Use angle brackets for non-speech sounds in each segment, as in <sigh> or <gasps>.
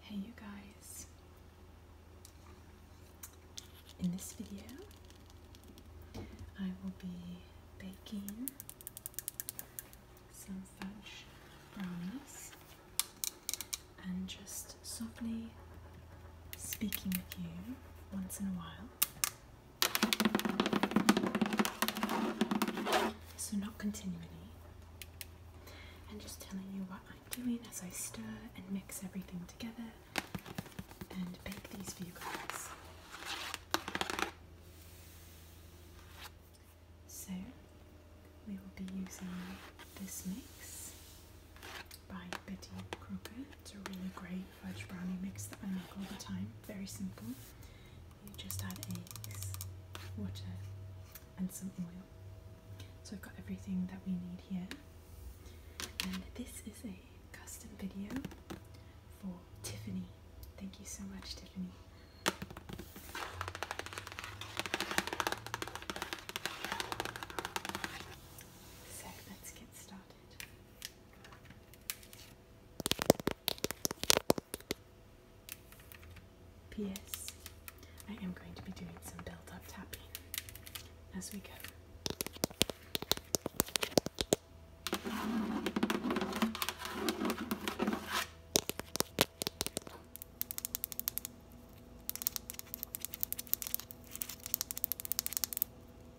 Hey you guys. In this video, I will be baking some fudge brownies and just softly speaking with you once in a while so not continually. And just telling you what I'm doing as I stir and mix everything together and bake these for you guys. So we will be using this mix by Betty Crocker. It's a really great fudge brownie mix that I make all the time. Very simple. You just add eggs, water, and some oil. So I've got everything that we need here. And this is a custom video for Tiffany. Thank you so much, Tiffany. So let's get started. P.S. I am going to be doing some build-up tapping as we go.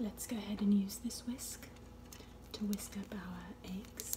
Let's go ahead and use this whisk to whisk up our eggs.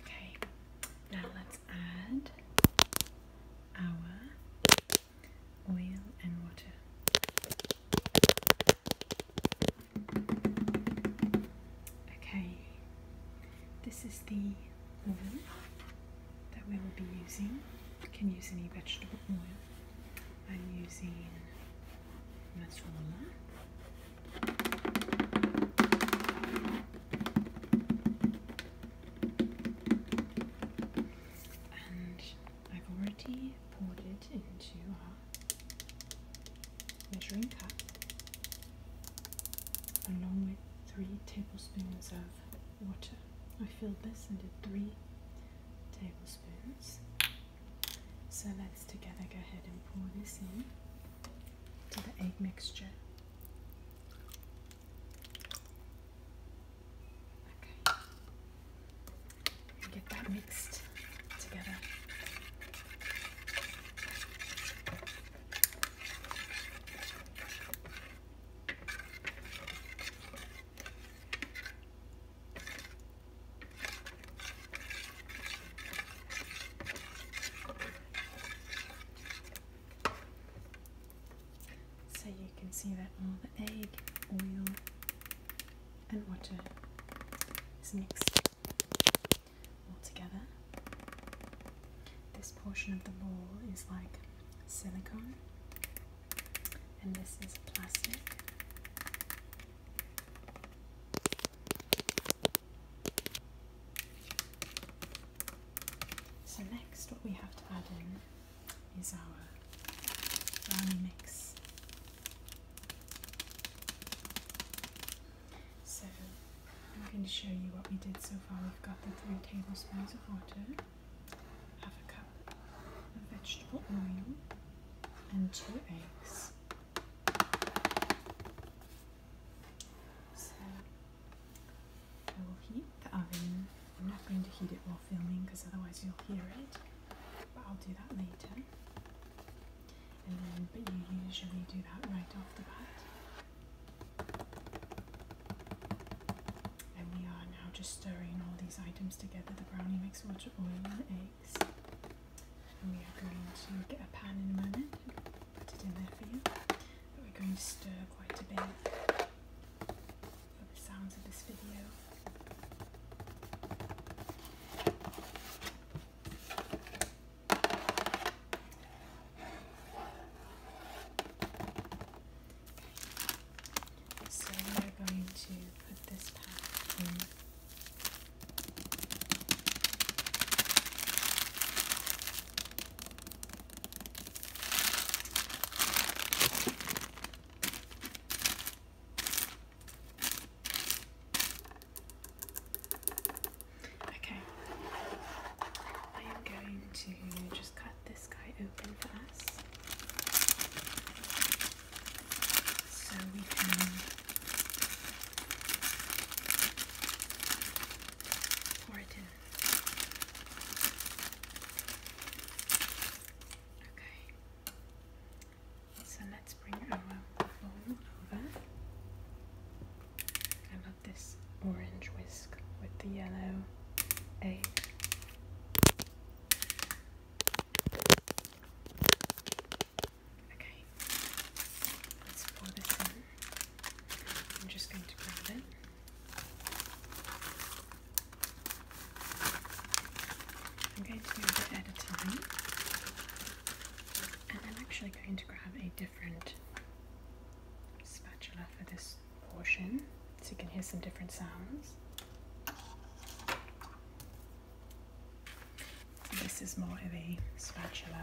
Okay, now let's add our oil and water. Okay, this is the oil that we will be using. can use any vegetable oil. I'm using oil. I've already poured it into our measuring cup along with three tablespoons of water. I filled this into three tablespoons. So let's together go ahead and pour this in to the egg mixture. Okay. And get that mixed together. So you can see that all the egg, oil, and water is mixed all together. This portion of the ball is like silicone, and this is plastic. So next what we have to add in is our brownie mix. So I'm going to show you what we did so far. We've got the three tablespoons of water, half a cup of vegetable oil, and two eggs. So I will heat the oven. I'm not going to heat it while filming because otherwise you'll hear it, but I'll do that later. And then, but you usually do that right off the bat. And we are now just stirring all these items together the brownie mix, water, oil, and eggs. And we are going to get a pan in a moment and put it in there for you. But we're going to stir quite a bit for the sounds of this video. So we are going to put this pack in. Okay, I am going to just cut this guy open for us so we can pour it in. Okay. So let's bring our bowl over. I love this orange whisk with the yellow egg. Okay, let's pour this in. I'm just going to grab it. I'm going at a time. And I'm actually going to grab a different spatula for this portion so you can hear some different sounds. this is more of a spatula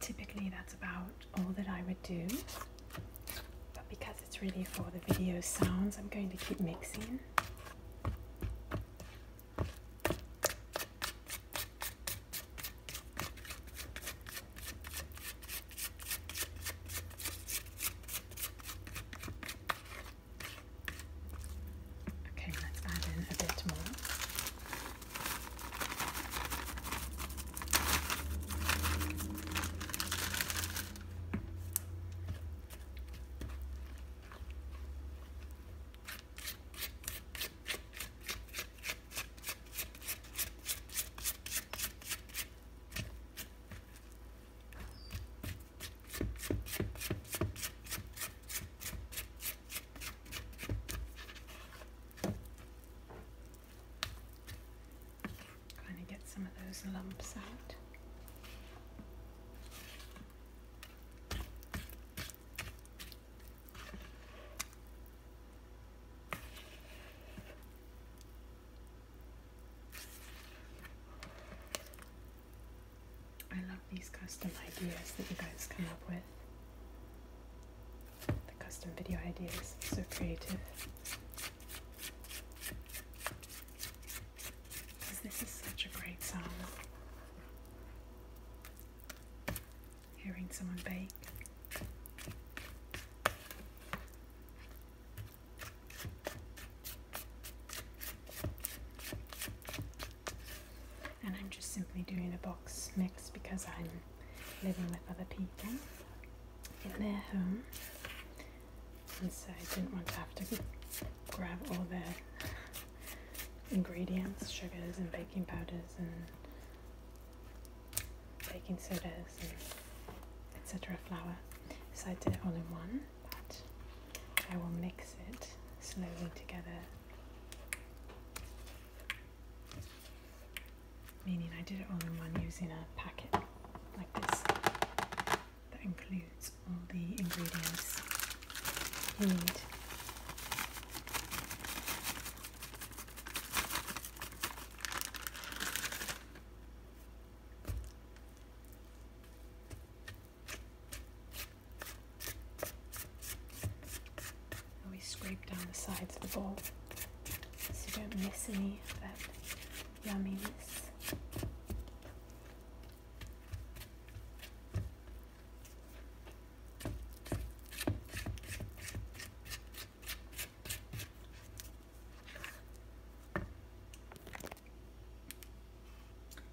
Typically that's about all that I would do, but because it's really for the video sounds, I'm going to keep mixing. Okay, let's add in a bit more. Trying to get some of those lumps out. I love these custom ideas that you guys come up with. The custom video ideas, so creative. this is such a great song hearing someone bake. And I'm just simply doing a box mix because I'm living with other people in their home. And so I didn't want to have to grab all their ingredients, sugars and baking powders and baking sodas and etc. flour. So I did it all in one, I will mix it slowly together. Meaning I did it all in one using a packet like this that includes all the ingredients you need. We scrape down the sides of the bowl so you don't miss any of that yummyness.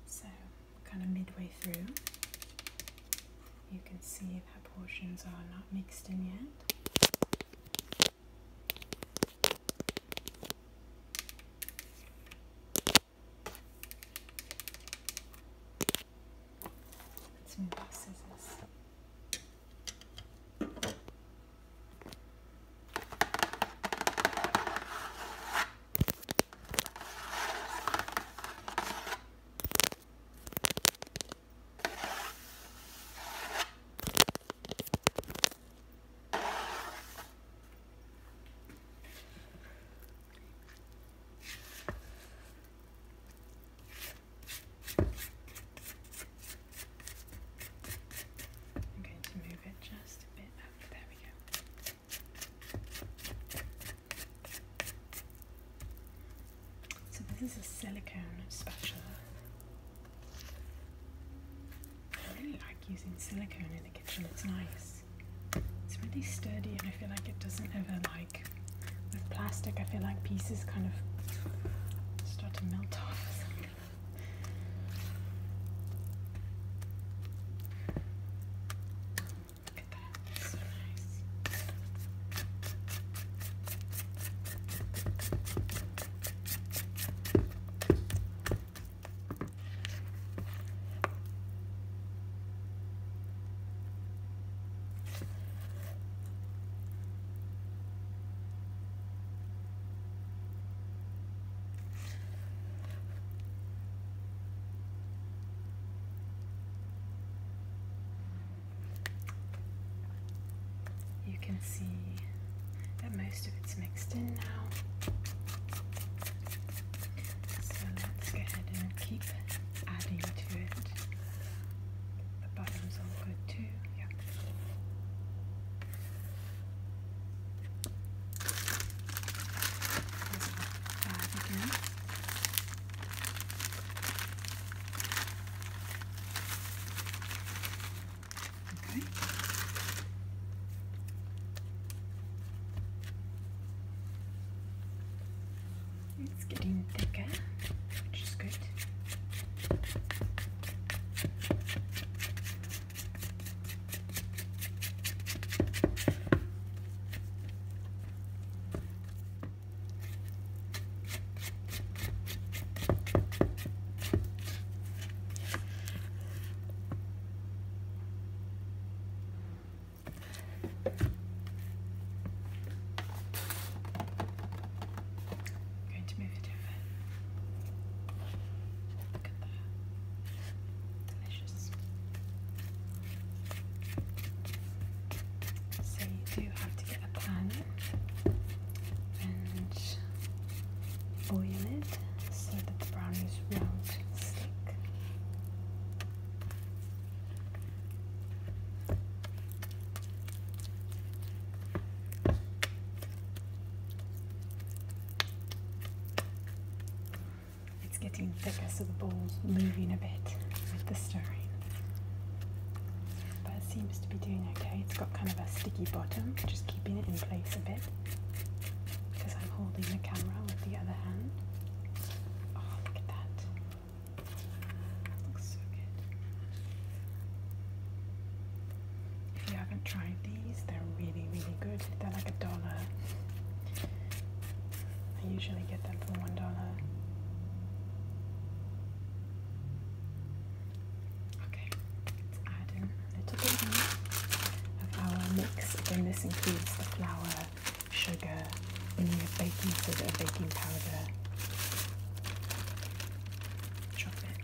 So, kind of midway through, you can see that portions are not mixed in yet. Let's move those scissors. I'm going to move it just a bit There we go. So, this is a silicone spatula. I really like using silicone in the kitchen, it's nice. It's really sturdy and I feel like it doesn't ever like with plastic, I feel like pieces kind of start to melt off you can see that most of it's mixed in now. So let's go ahead and keep it adding to it. The bottom's all good too. Yeah. That again. Okay. It's getting thicker, which is good i going to move it over. Look at that. Delicious. So you do have to get a pan and oil it so that the brownies won't stick. It's getting thicker so the ball's moving a bit with the stirring. But it seems to be doing okay. It's got kind of a sticky bottom, just keeping it in place a bit. Because I'm holding the camera with the other hand. Oh, look at that. If you haven't tried these, they're really, really good. They're like a dollar. I usually get them for one dollar. Okay, let's add in a little bit of our mix. Again, this includes the flour sugar, in your baking soda, baking powder, chop it.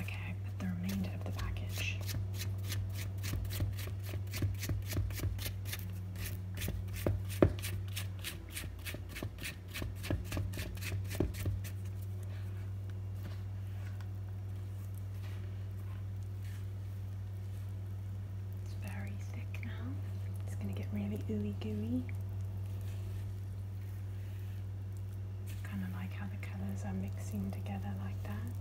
Okay, put the remainder of the package. It's very thick now. It's going to get really ooey gooey. Kind of like how the colours are mixing together like that.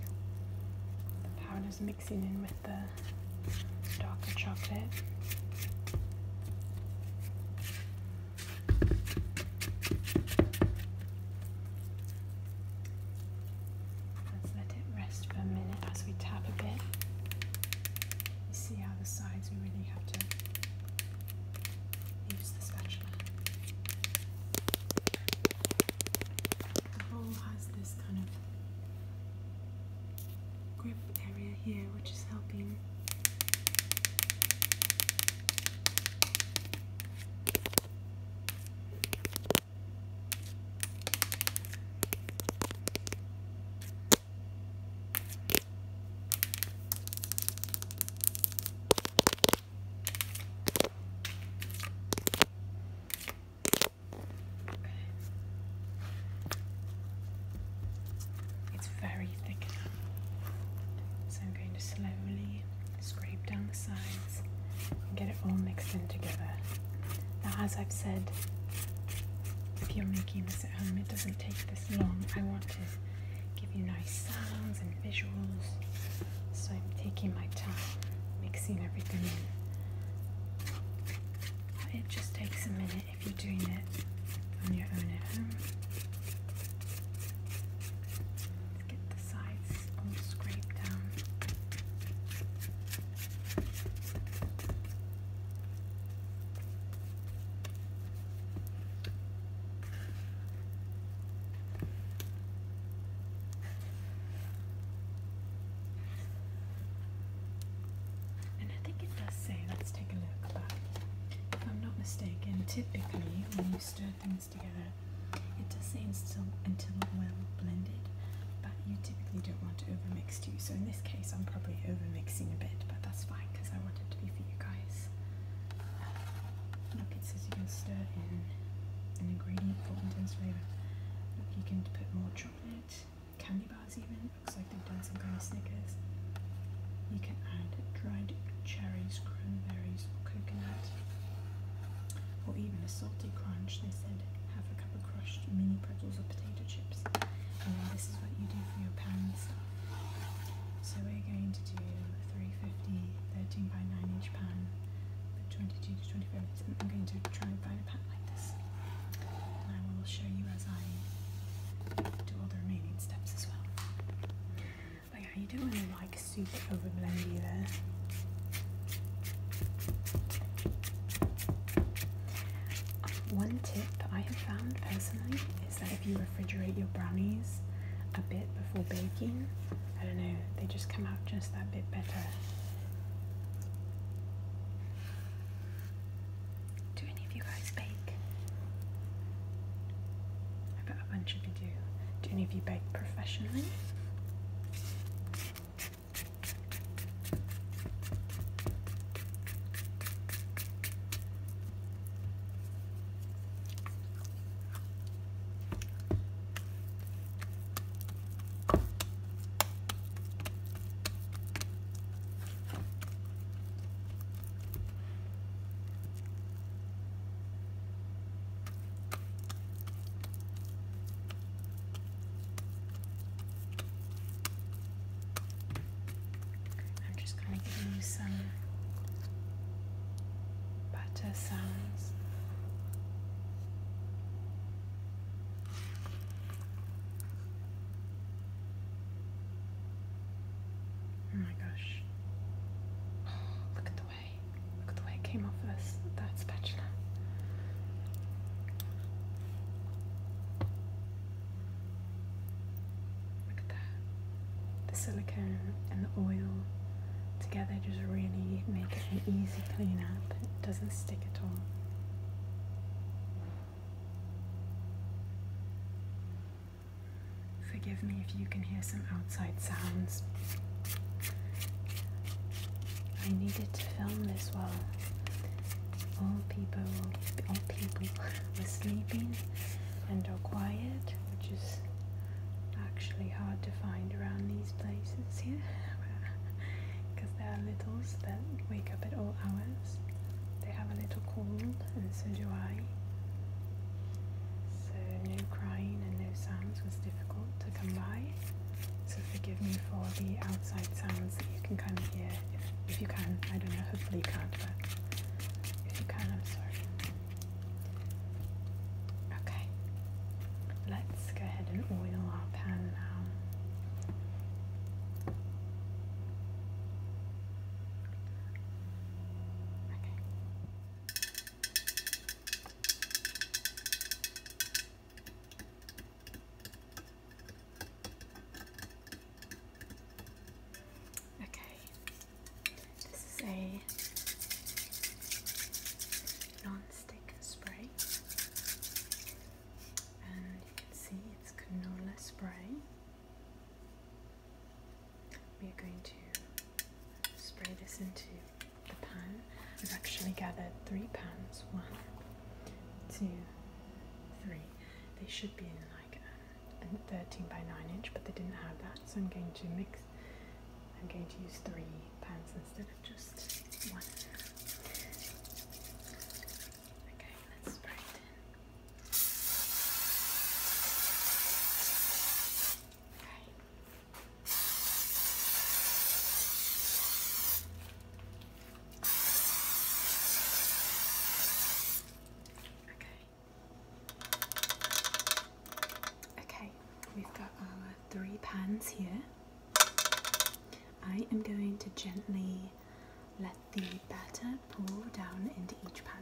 The powder's mixing in with the darker chocolate. Let's let it rest for a minute as we tap a bit. You see how the sides we really have to use the spatula. The bowl has this kind of grip area here which is helping it's very thick so I'm going to slowly scrape down the sides, and get it all mixed in together. Now, as I've said, if you're making this at home, it doesn't take this long. I want to give you nice sounds and visuals, so I'm taking my time mixing everything in. it just takes a minute if you're doing it on your own at home. And I think it does say, let's take a look, but if I'm not mistaken, typically when you stir things together. It does seem still until well blended, but you typically don't want to overmix too. So in this case, I'm probably overmixing a bit, but that's fine because I want it to be for you guys. Look, it says you can stir in an ingredient for intense flavor. Look, you can put more chocolate, candy bars even. Looks like they've done some kind of Snickers. You can add dried cherries, cranberries, coconut or even a salty crunch. They said, half a cup of crushed mini pretzels or potato chips. And then this is what you do for your pan stuff. So we're going to do a 350 13 by 9 inch pan for 22 to 25 minutes. And I'm going to try and find a pan like this. And I will show you as I do all the remaining steps as well. But yeah, you don't like super overblend either. Um, one tip I have found personally is that if you refrigerate your brownies a bit before baking, I don't know, they just come out just that bit better. Do any of you guys bake? that eventually do. Do any of you bake professionally? I'm just going to give you some butter sounds. Oh my gosh. <gasps> look at the Look at the way it came off us, that spatula. Look at that. The silicone and the oil together just really make it an easy clean up. It doesn't stick at all. Forgive me if you can hear some outside sounds. I needed to film this while all people, all people <laughs> were sleeping and are quiet, which is actually hard to find around these places here, because <laughs> there are littles that wake up at all hours. They have a little cold, and so do I. So no crying and no sounds was difficult to come by. So forgive me for the outside sounds that you can come here if, if you can. I don't know, hopefully you can't, but if you can, I'm sorry. Okay, let's go ahead and oil our pan now. Okay. Okay, this is a non-stick spray, and you can see it's canola spray. We're going to spray this into the pan. I've actually gathered three pans. One, two, three. They should be in like um, 13 by 9 inch, but they didn't have that, so I'm going to mix. I'm going to use three pans instead of just one. Okay, let's spray it in. Okay. Okay, we've got our three pans here. I am going to gently let the batter pour down into each pan.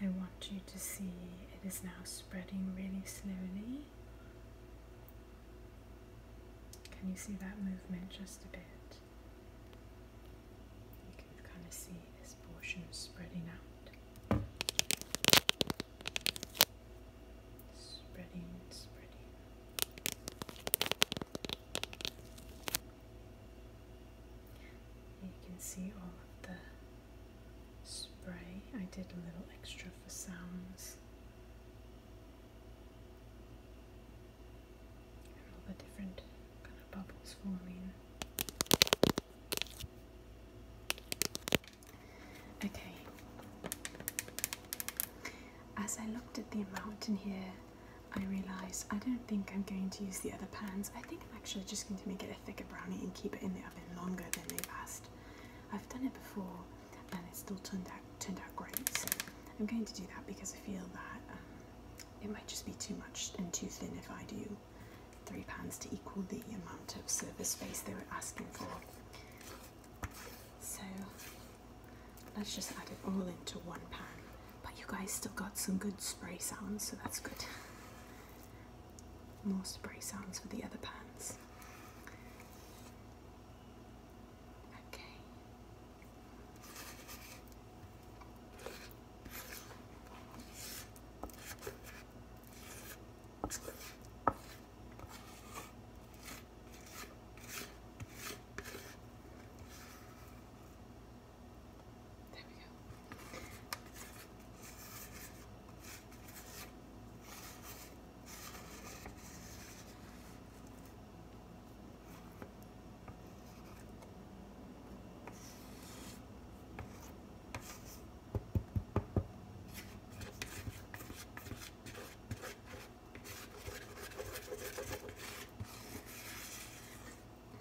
I want you to see it is now spreading really slowly. Can you see that movement just a bit? You can kind of see this portion spreading out. Spreading, spreading. You can see all of the spray. I did a little extra for sounds and all the different kind of bubbles forming. Okay, as I looked at the amount in here, I realised I don't think I'm going to use the other pans. I think I'm actually just going to make it a thicker brownie and keep it in the oven longer than they've asked. I've done it before and it still turned out turned out great. I'm going to do that because I feel that um, it might just be too much and too thin if I do three pans to equal the amount of surface space they were asking for. So let's just add it all into one pan. But you guys still got some good spray sounds, so that's good. More spray sounds for the other pants. Okay. There we go.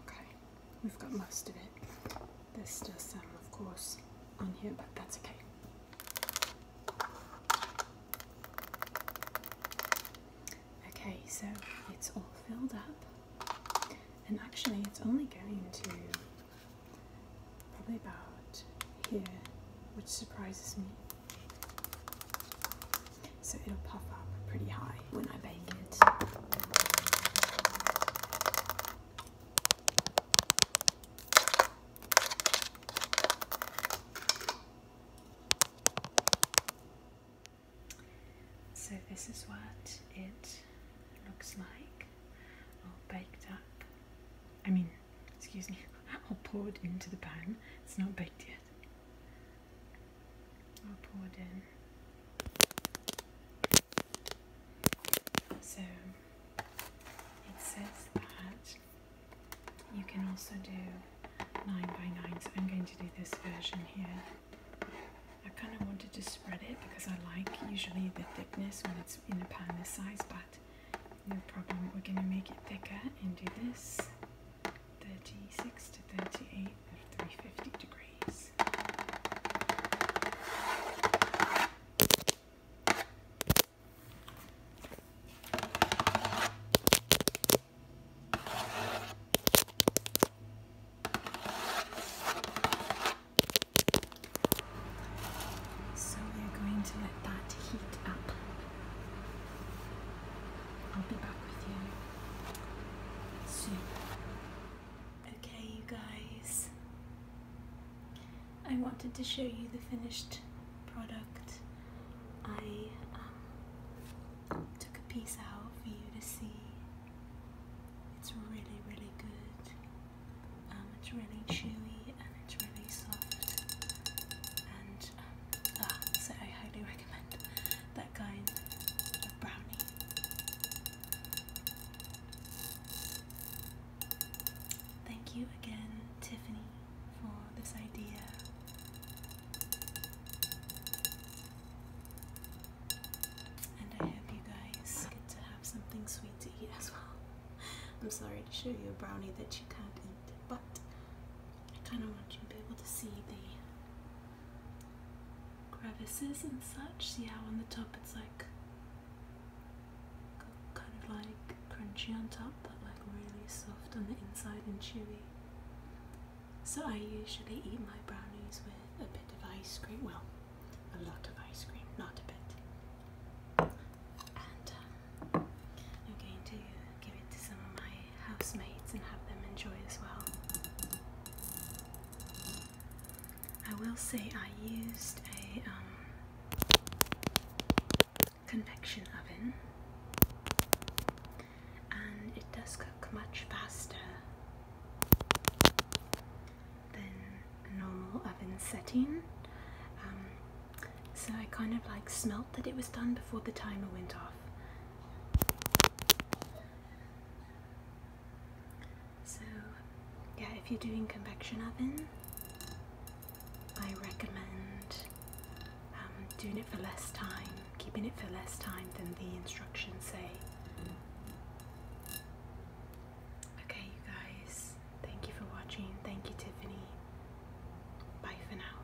Okay, we've got most of it. There's does some, of course, on here, but that's okay. Okay, so it's all filled up, and actually, it's only going to probably about here, which surprises me. So it'll puff up pretty high when I bake it. So this is what it looks like, all baked up. I mean, excuse me, <laughs> all poured into the pan. It's not baked yet. All poured in. So it says that you can also do 9 by 9 so I'm going to do this version here. I kind of wanted to spread it because I like usually the thickness when it's in a pan this size but no problem we're going to make it thicker and do this 36 to 38 at 350 degrees. So we're going to let that heat up. I'll be back with you soon. Okay, you guys, I wanted to show you the finished product. I um, took a piece out for you to see. It's really, really good. Um, it's really chewy and it's really soft. And um, ah, so I highly <laughs> recommend that kind of brownie. Thank you again, Tiffany, for this idea. And I hope you guys get to have something sweet to eat as well. <laughs> I'm sorry to show you a brownie that you can't eat, but I kind of want you to be able to see the crevices and such. See how on the top it's like kind of like crunchy on top but like really soft on the inside and chewy. So I usually eat my brownies with a bit of ice cream, well a lot of ice cream, not a bit. And um, I'm going to give it to some of my housemates and have them enjoy as well. I will say I used a um, convection oven and it does cook much faster than a normal oven setting. Um, so I kind of like smelt that it was done before the timer went off. So, yeah, if you're doing convection oven, I recommend um, doing it for less time, keeping it for less time than the instructions say. Okay, you guys, thank you for watching. Thank you, Tiffany. Bye for now.